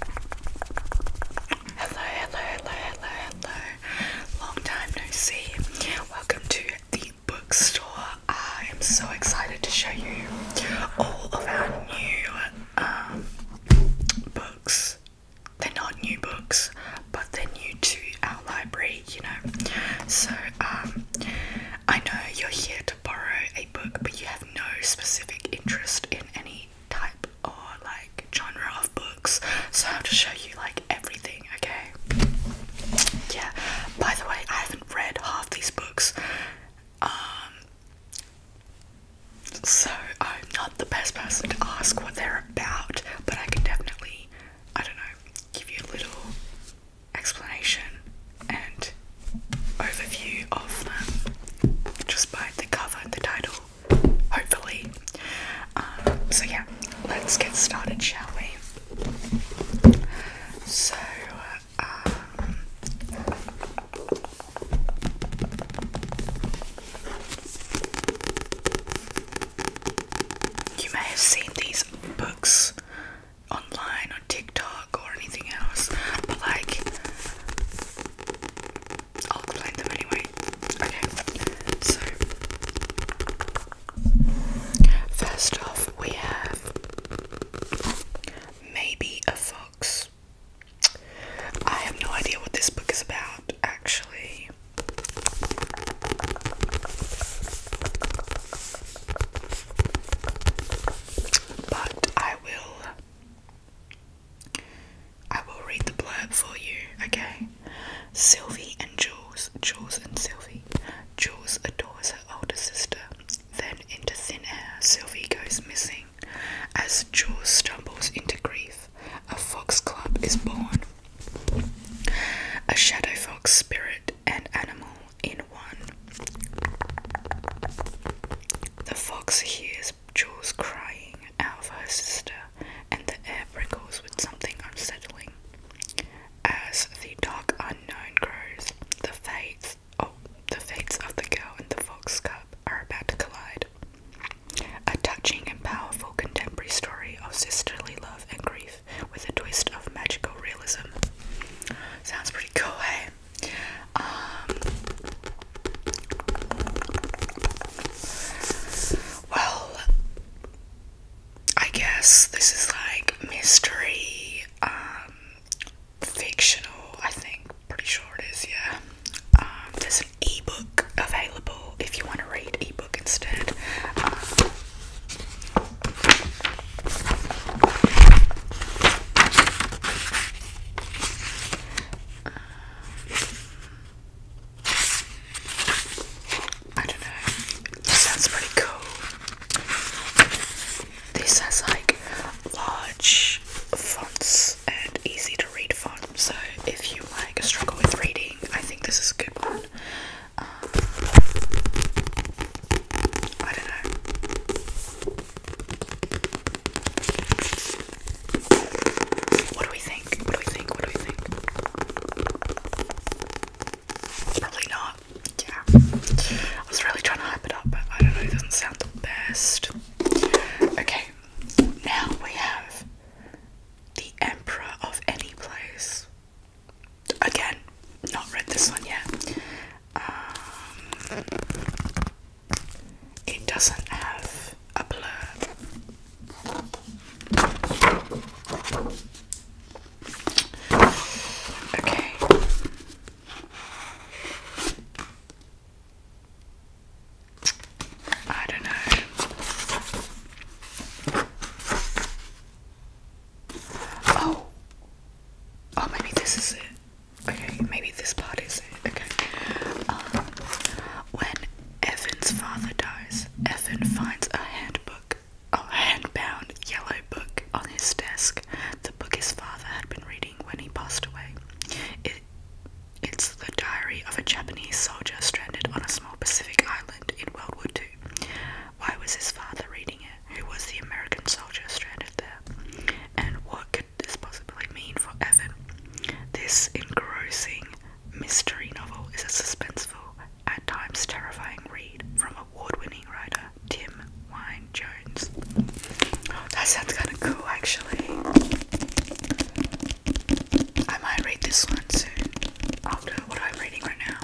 Hello, hello, hello, hello, hello. Long time no see. Welcome to the bookstore. I am so excited to show you all of our new um, books. They're not new books, but they're new to our library, you know. So, um, I know you're here to borrow a book, but you have no specific interest in any type or like genre of books, so I have to show you like everything, okay? Yeah, by the way, I haven't read half these books, um, so I'm not the best person to ask what they're about, but I can definitely, I don't know, give you a little explanation and overview of them just by the cover and the title hopefully. Um, so, yeah, let's get started, shall we? So, um, you may have seen these books online on TikTok or anything else, but like I'll explain them anyway. Okay, so first off, we have Maybe a Fox. I have no idea what this book is about, actually. But I will I will read the blurb for you, okay? Sylvie and Jules, Jules and Sylvie. Jules adores her older sister. Then, into thin air, Sylvie goes missing. As Jules stumbles into grief, a fox club is born. A shadow fox spirit and animal in one. The fox hears Jules crying out of her sister, and the air prickles with something unsettling. As the dark unknown grows, the fates oh, of the girl and the fox cub are about to collide. A touching and powerful contemporary story of sisterly love and grief with a twist of magical realism. Sounds pretty cool, hey? Um, well, I guess this is like mystery, um, fictional, I think. Pretty sure it is, yeah. Um, there's an ebook available if you want to read ebook instead. I don't know. This sounds pretty cool. This has like large fonts and easy to read fonts. so if you like struggle with reading, I think this is a good one. Um, I don't know. What do we think? What do we think? What do we think? Probably not. Yeah. I was really trying to hype it up, but I don't know, it doesn't sound the best. Okay, now we have the Emperor of Any Place. Again, not read this one yet. Um, it doesn't have a blurb. Okay. I don't know. Oh. Oh, maybe this is it. Okay, maybe this part is it. Okay. Uh, when Evan's father dies, Evan finds a handbook, a handbound yellow book on his desk. The book his father had been reading when he passed away. It, it's the diary of a Japanese soldier stranded on a small Pacific island in World War II. Why was his father reading it? Who was the American soldier stranded there? And what could this possibly mean for Evan? This engrossing mystery novel is a suspenseful, at times terrifying read from award winning writer Tim Wine Jones. that sounds kind of cool, actually. I might read this one soon after what I'm reading right now.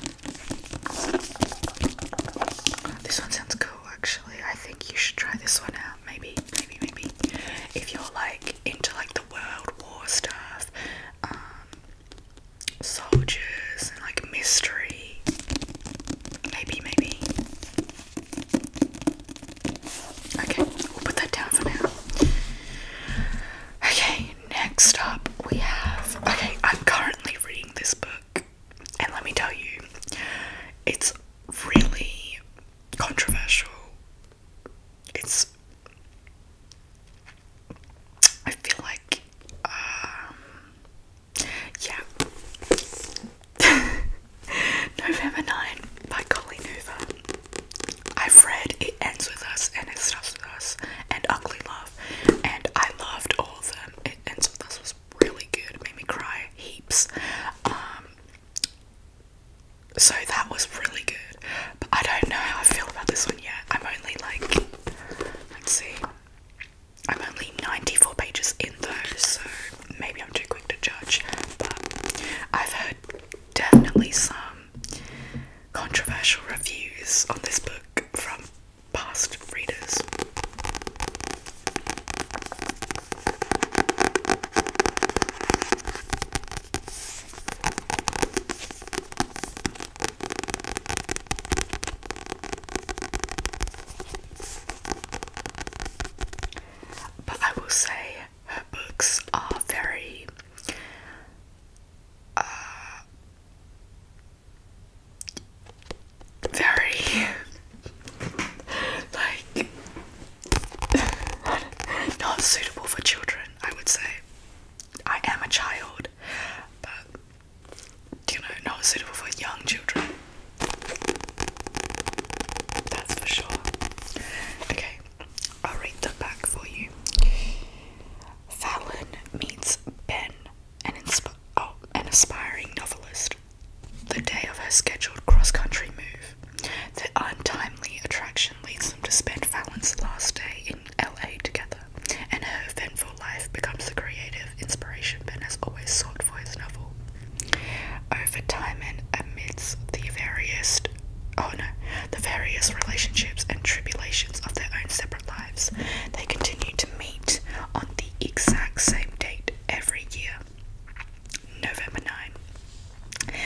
This one sounds cool, actually. I think you should try this one out maybe, maybe, maybe. If you're like into like the World War stuff, um, soldiers and like mystery, maybe, maybe. Okay, we'll put that down for now. Okay, next up we have. Okay, I'm currently reading this book, and let me tell you, it's really controversial. It's. I feel like. Um, yeah. November 9 by Colleen Hoover. I've read It Ends With Us and It Starts With Us and Ugly Love, and I loved all of them. It Ends With Us was really good, made me cry heaps. Um, so that was really good. But I don't know how I feel about this one yet. I'm only like, let's see, I'm only 94 pages in though, so maybe I'm too quick to judge. But I've heard definitely some controversial reviews on this book from past readers. But I will say her books are very uh, very like not suitable for children, I would say. I am a child, but you know, not suitable for young children. That's for sure. Okay, I'll read the back for you. Fallon meets Ben, an, oh, an aspiring novelist, the day of her scheduled cross country move. Their untimely attraction leads them to spend Fallon's last day in LA together, and her eventful life becomes the creative inspiration Ben has always sought for his novel. Over time and amidst the various oh no, the various relationships and tribulations of their own separate lives, they continue to meet on the exact same date every year. November 9.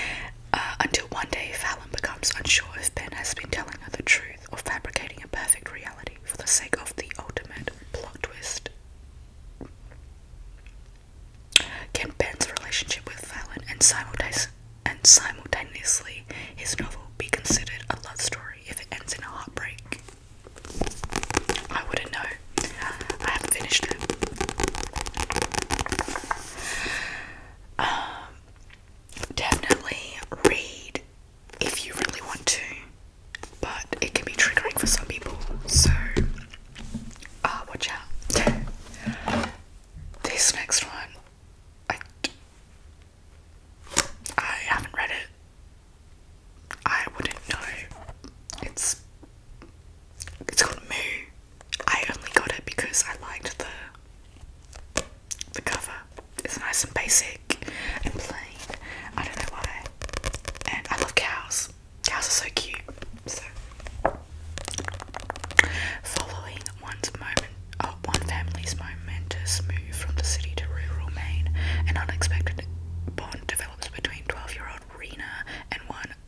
Uh, until one day, Fallon becomes unsure if Ben has been telling her the truth or fabricating a perfect reality for the sake of the ultimate plot twist. Can Ben's relationship with Fallon and simultaneously his novel be considered a love story if it ends in a heartbreak? I wouldn't know. I haven't finished it. Um, definitely read if you really want to, but it can be triggering for some people, so uh, watch out. This next one, I, I haven't read it. I wouldn't know. It's it's called Moo I only got it because I liked the the cover. It's nice and basic and plain. I don't know why. And I love cows. Cows are so cute. So following one's moment oh, one family's momentous move from the city to rural Maine, an unexpected bond develops between twelve year old Rena and one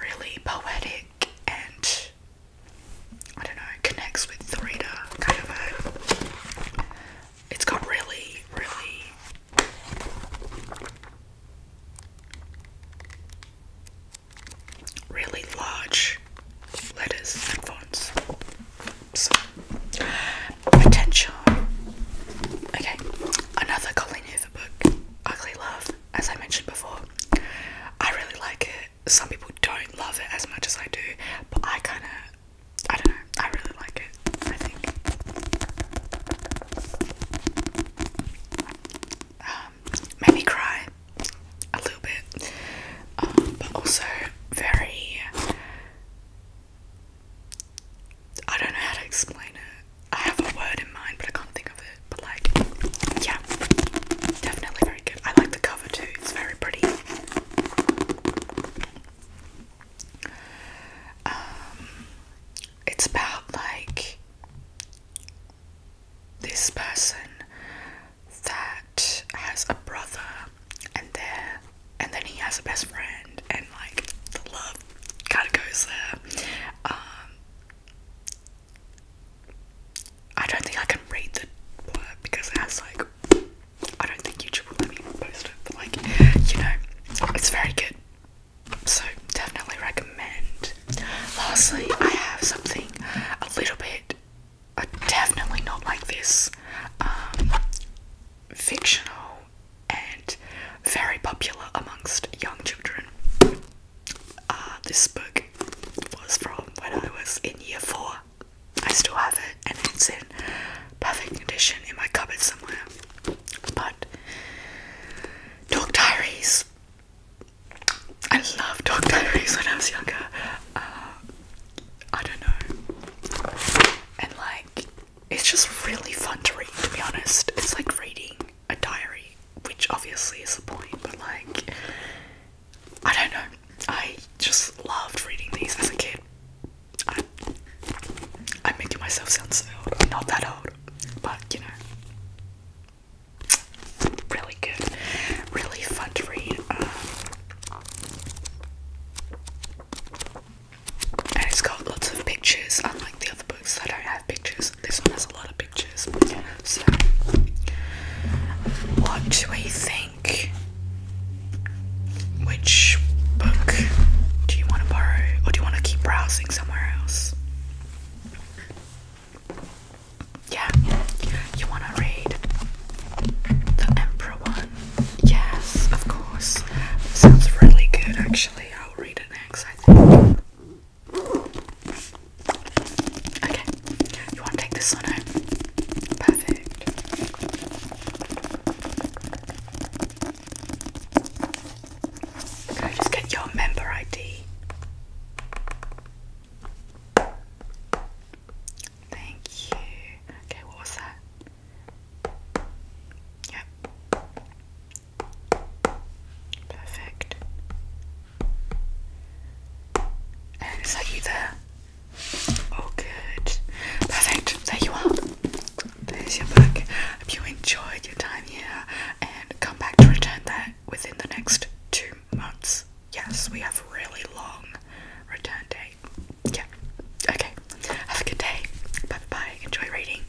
really poetic and I don't know, connects with the reader kind of vibe. It's got really, really really large letters and fonts. So potential. Okay, another Colleen Hoover book, Ugly Love as I mentioned before, I really like it. Some people don't love it as much as I do, but I kind of, I don't know, I really like it, I think. Um, made me cry a little bit, um, but also very. I don't know how to explain it. I have a word in mind, but I can't think of it. But like, yeah, definitely very good. I like the cover too. It's very pretty. Um, it's about like this person that has a brother, and there, and then he has a best friend, and like the love kind of goes there. Um, I don't think I can read the blurb because it has like I don't think YouTube will let me post it, but like you know, it's very good. So definitely recommend. Lastly, I have something a little bit definitely not like this. Um, fictional and very popular amongst young children. Uh, this book was from when I was in year four. I still have it and it's in perfect condition in my cupboard somewhere. But Dog Diaries. I loved Dog Diaries when I was younger. Uh, I don't know. And like, it's just really fun to read, to be honest. It's like reading a diary, which obviously is the point, but like, I don't know. I just loved reading these as a kid. I, am making myself sound so old. I'm not that old, but you know, really good, really fun to read. Um, and it's got lots of pictures, unlike the other books that don't have pictures. This one has a lot of pictures. So, what do we think? Which book do you want to borrow, or do you want to keep browsing somewhere else? Yeah, you want to read the Emperor one? Yes, of course. Sounds really good, actually. I'll read it next, I think. Okay, you want to take this one home? Perfect. Can I just get your member ID? Thank you. Okay, what was that? Yep. Perfect. is that you there? Oh, good. Perfect. There you are. There's your book. Hope you enjoyed your time here and come back to return that within the next two months. Yes, we have really long return date. Yeah. Okay. Have a good day. Bye bye. Enjoy reading.